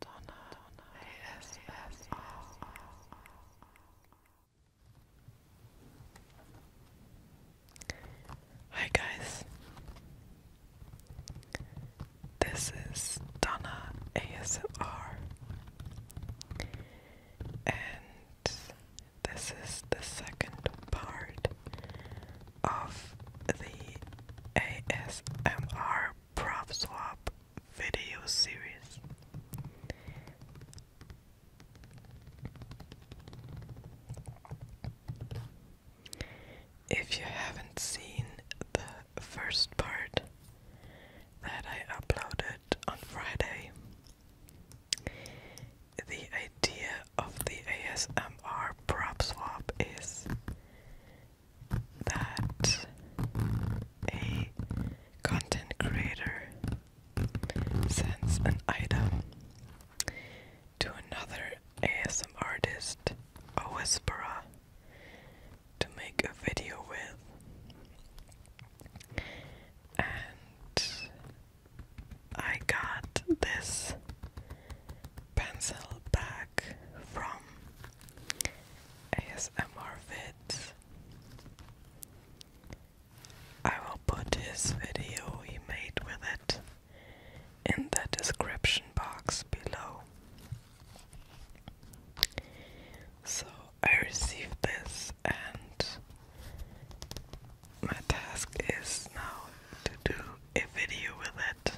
Donna, ASMR. Hi guys, this is Donna ASMR, and this is the second part of the ASMR prop swap video series. If you haven't seen the first part that I uploaded on Friday, the idea of the ASMR prop swap is that a content creator sends an item to another ASM artist, a whisperer, to make a video with. And I got this pencil back from ASMR vids. I will put his video he made with it in the description box below. So I received this, and my task is now to do a video with it.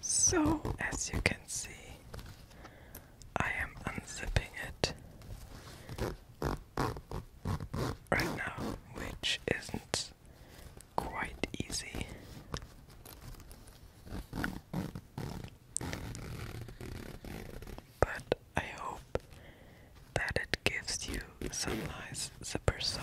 So, as you can see, I am unzipping it right now, which isn't quite easy. But I hope that it gives you some nice zipper sound.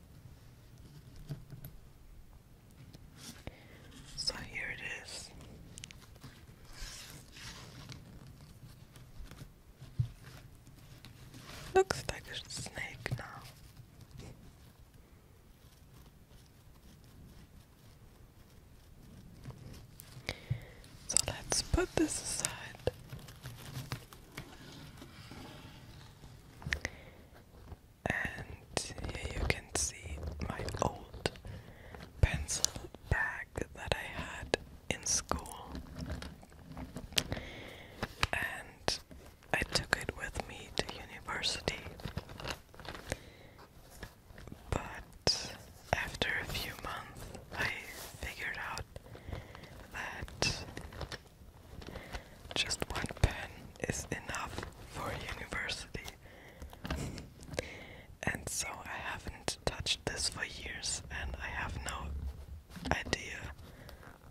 So here it is. Looks like a snake now. So let's put this aside. And here you can see my old pencil bag that I had in school. And I took it with me to university. But after a few months, I figured out that just one pen is enough for university. and so I haven't touched this for years and I have no idea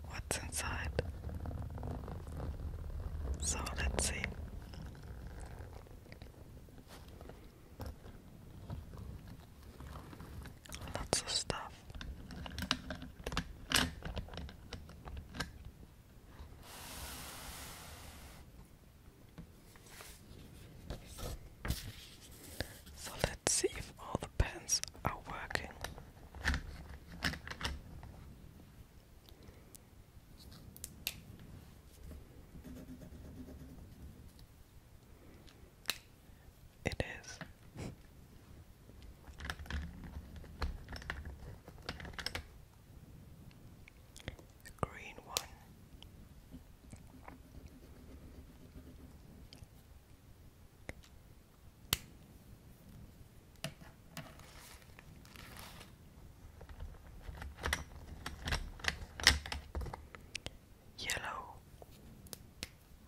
what's inside. So let's see. Lots of stuff. So let's see if all the pens are working. It is. The green one. Yellow,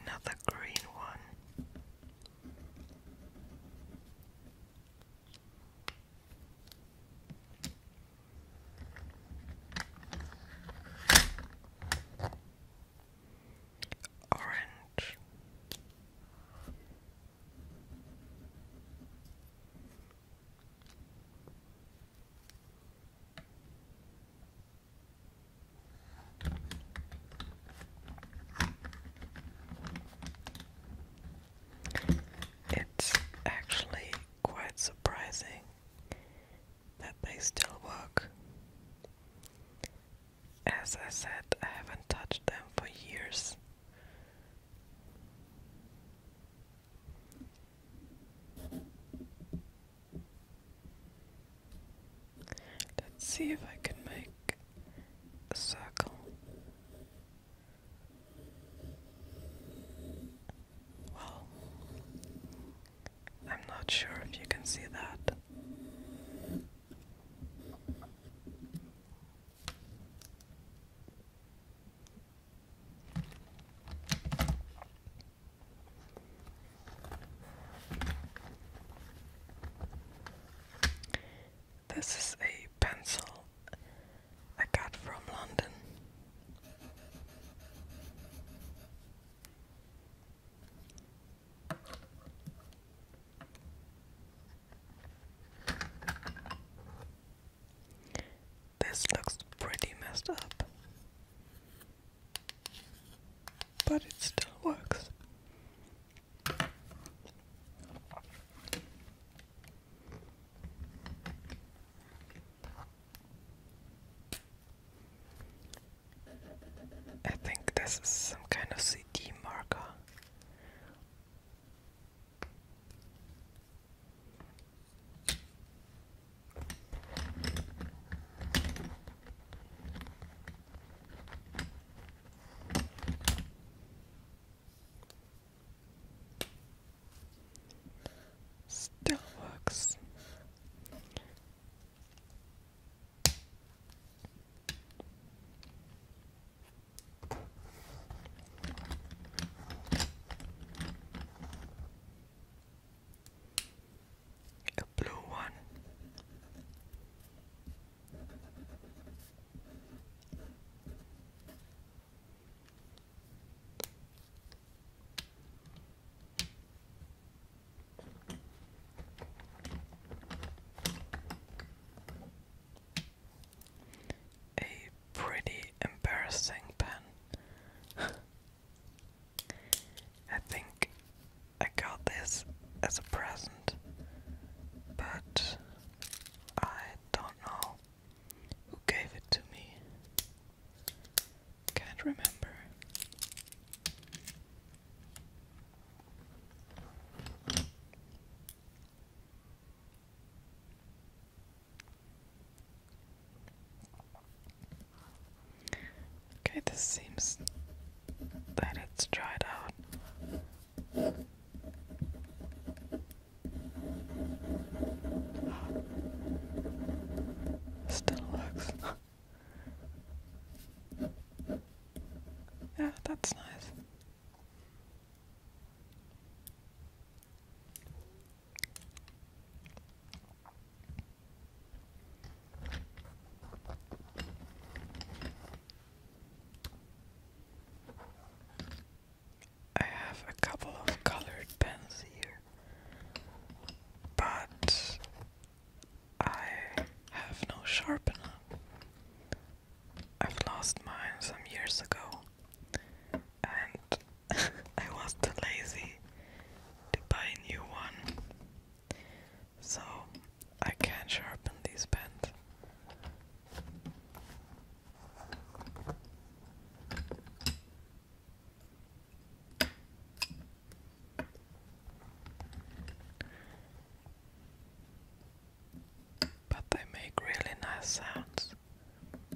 Another green one. Orange, it's actually quite surprising that they still work. As I said, I haven't touched them for years. Let's see if I can make a circle. Well, I'm not sure if you can see that. This is a pencil I got from London. This looks pretty messed up, but it still works. I think this is some kind of CD marker. Still works a blue one. A pretty embarrassing pen. I think I got this as a present, but I don't know who gave it to me. Can't remember. Okay, this seems that it's dried out. Still works. yeah, that's nice. I have a couple of colored pens here, but I have no sharpener. I've lost mine some years ago and I was too lazy to buy a new one, so I can sharpen these pens. But they make really nice sounds.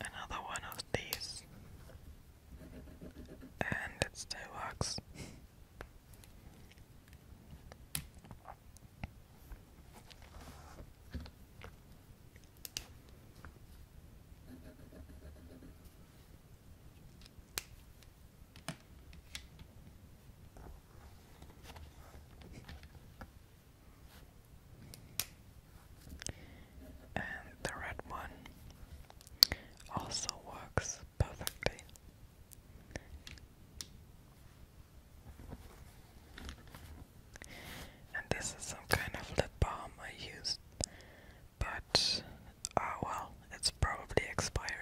Another one of these, and it still works. And the red one also works perfectly. And this is some kind of lip balm I used, but ah well, it's probably expired.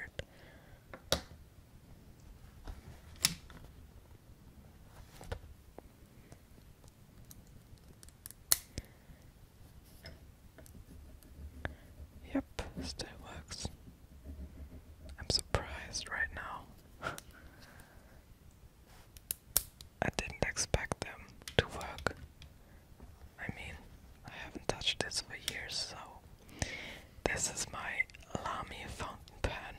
Yep, still works. I'm surprised right now. I didn't expect them to work. I mean, I haven't touched this for years, so this is my Lamy fountain pen.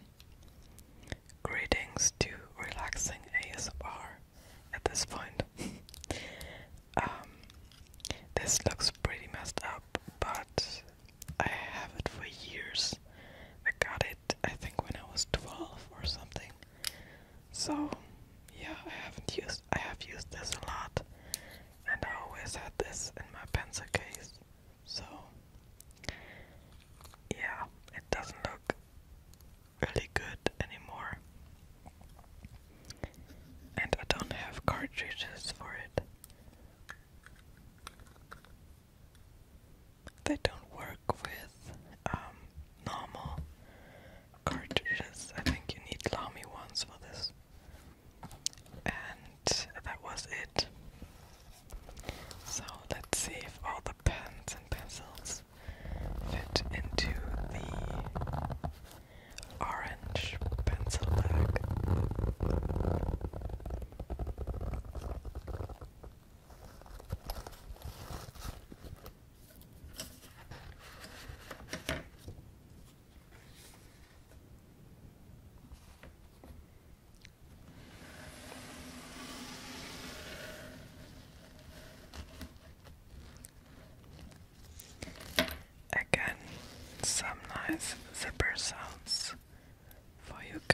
Greetings to relaxing ASMR at this point. Um, this looks pretty messed up, but I have it for years. I got it, I think, when I was 12 or something. So, yeah, I haven't used. I have used this a lot, and I always had this in my pencil case. So, yeah, it doesn't look really good anymore. And I don't have cartridges for it. They don't work with um, normal cartridges. I think you need Lamy ones for this. And that was it. So let's see if all the pens and pencils fit into the orange pencil bag. Again, some nice zipper sounds for you guys.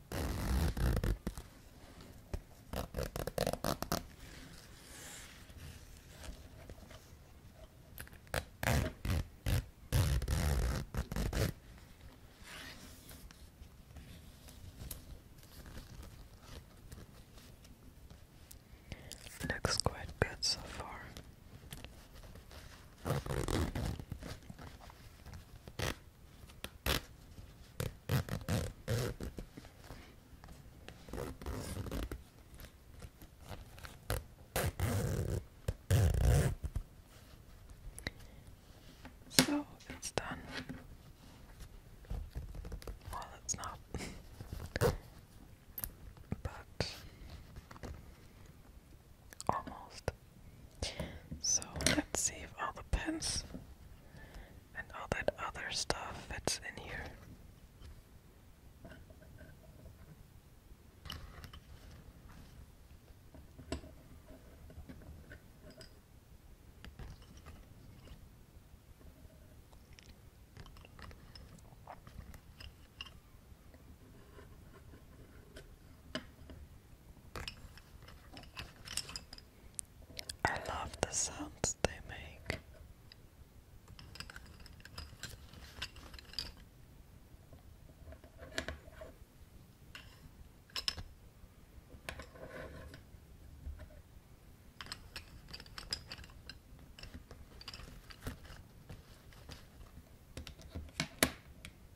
Looks quite good so far. So it's done. Well, it's not. but almost. So let's see if all the pens and all that other stuff fits in here. I love the sounds they make.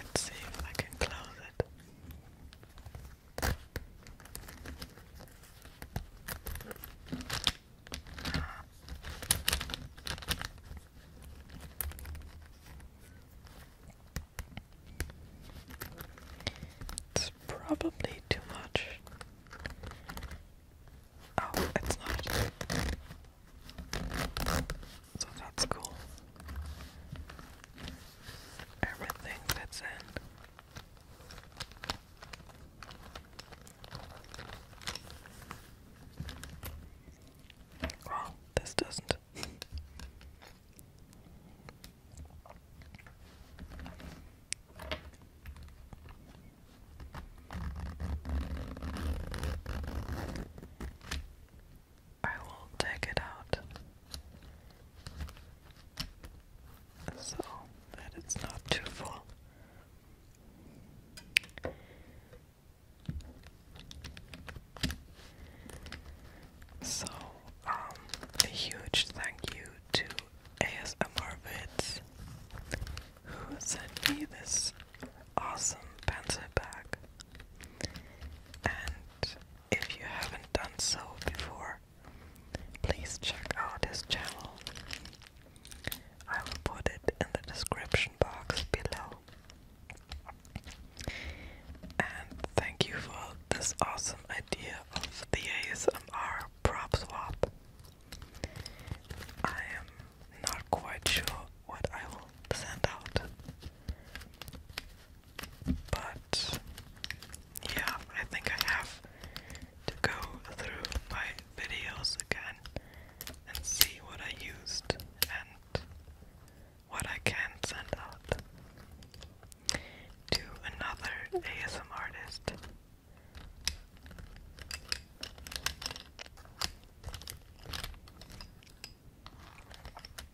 Let's see if I can close it. It's probably too much. Oh, it's not. So that's cool. Everything fits in this doesn't. I will take it out so that it's not too full. So, um, a huge thank you to ASMR Vids who sent me this awesome pencil bag. And if you haven't done so before, please check out his channel. I will put it in the description box below. And thank you for this awesome idea of the ASMR prop swap. I am not quite sure what I will send out. But yeah, I think I have to go through my videos again and see what I used and what I can send out to another ASM artist.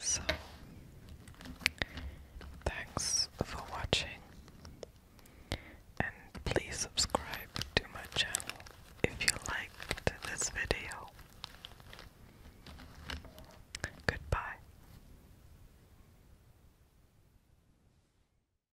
So, thanks for watching, and please subscribe to my channel if you liked this video. Goodbye.